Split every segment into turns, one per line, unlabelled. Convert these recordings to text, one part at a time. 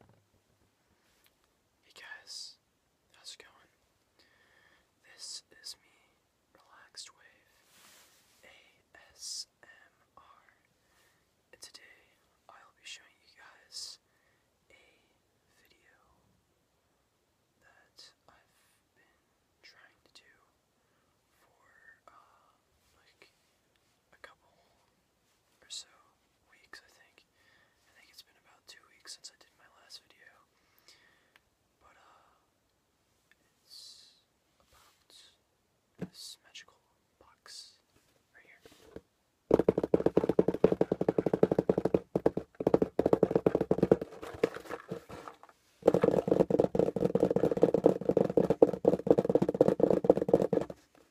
Hey guys, how's it going? This is me, Relaxed Wave ASMR, and today I'll be showing you guys a video that I've been trying to do for uh, like a couple or so weeks, I think. I think it's been about two weeks since I did my last video. But, uh, it's about this magical box right here.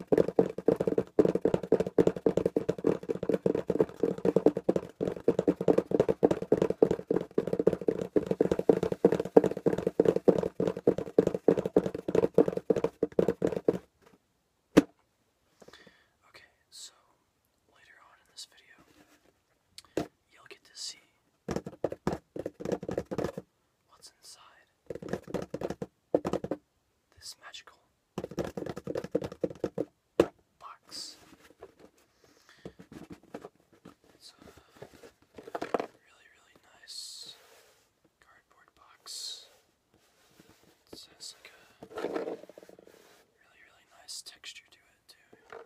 Okay, so later on in this video, you'll get to see What's inside? This magical box. It's a really, really nice cardboard box. It has like a really, really nice texture to it, too.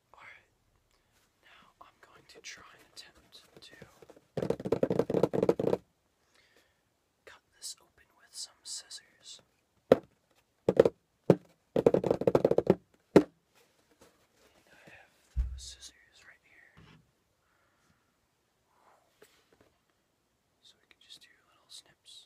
Alright, now I'm going to try and attempt to cut this open with some scissors. And I have those scissors right here. So we can just do little snips.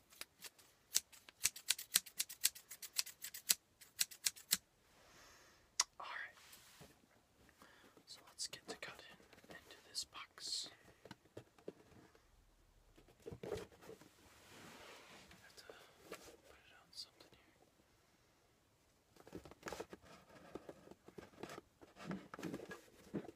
All right. So let's get to cutting into this box. I have to put it on something here. All right.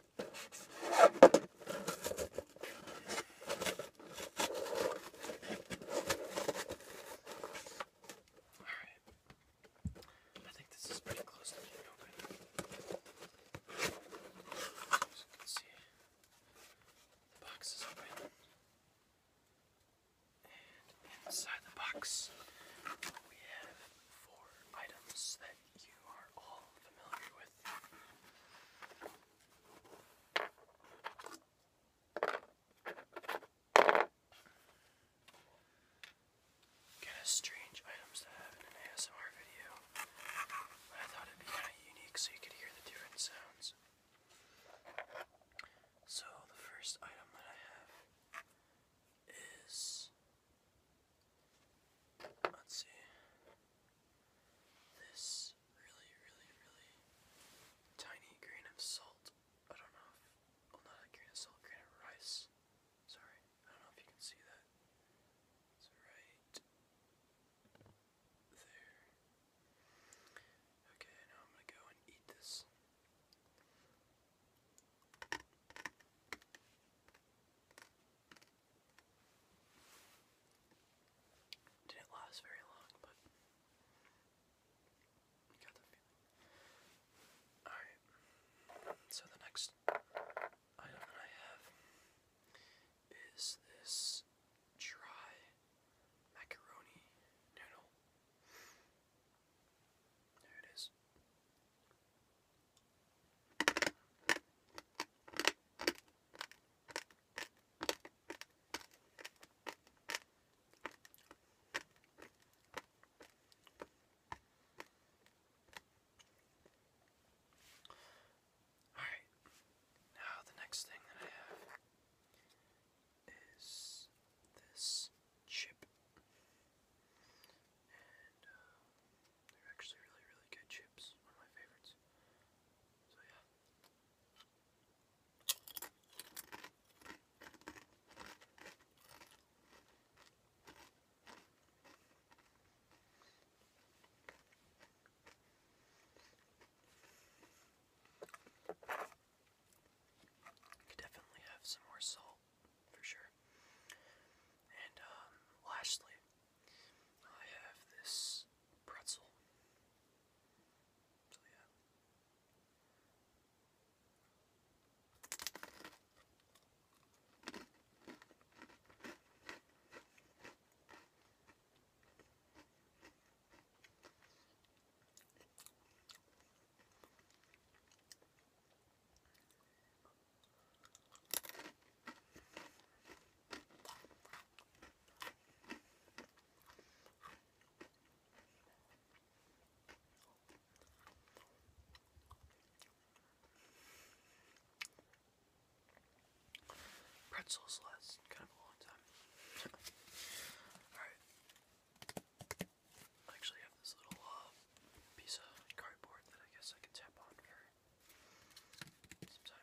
Alright. I think this is pretty close to being open. As you can see, the box is open. And inside the box, we have four items that you are strange items to have in an ASMR video. I thought it'd be kind of unique so you could hear the different sounds. So the first item that I have is Let's see. This really, really, really tiny grain of salt. I don't know if. Well, not a grain of salt, grain of rice. Sorry. I don't know if you can see that. It's right there. Okay, now I'm gonna go and eat this. Didn't last very long, but got the Alright, so the next item that I have is this dry macaroni noodle. There it is. Alright, now the next thing that I have is this chip. Uh, they're actually really, really good chips. One of my favorites. So yeah. definitely have some more salt for sure. And um, lastly, I have this pretzel. So yeah. Pretzels last kind of a long time. Alright. I actually have this little uh, piece of cardboard that I guess I can tap on for some time.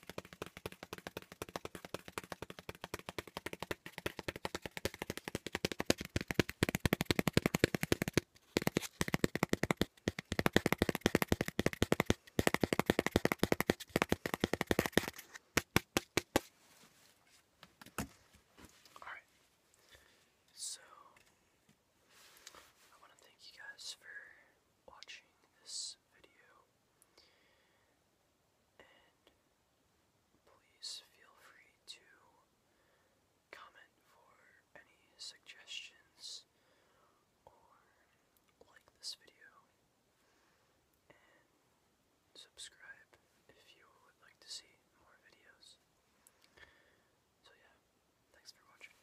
All right. So I want to thank you guys for watching this video. And please feel free to comment for any suggestions or like this video and subscribe if you would like to see more videos. So yeah, thanks for watching.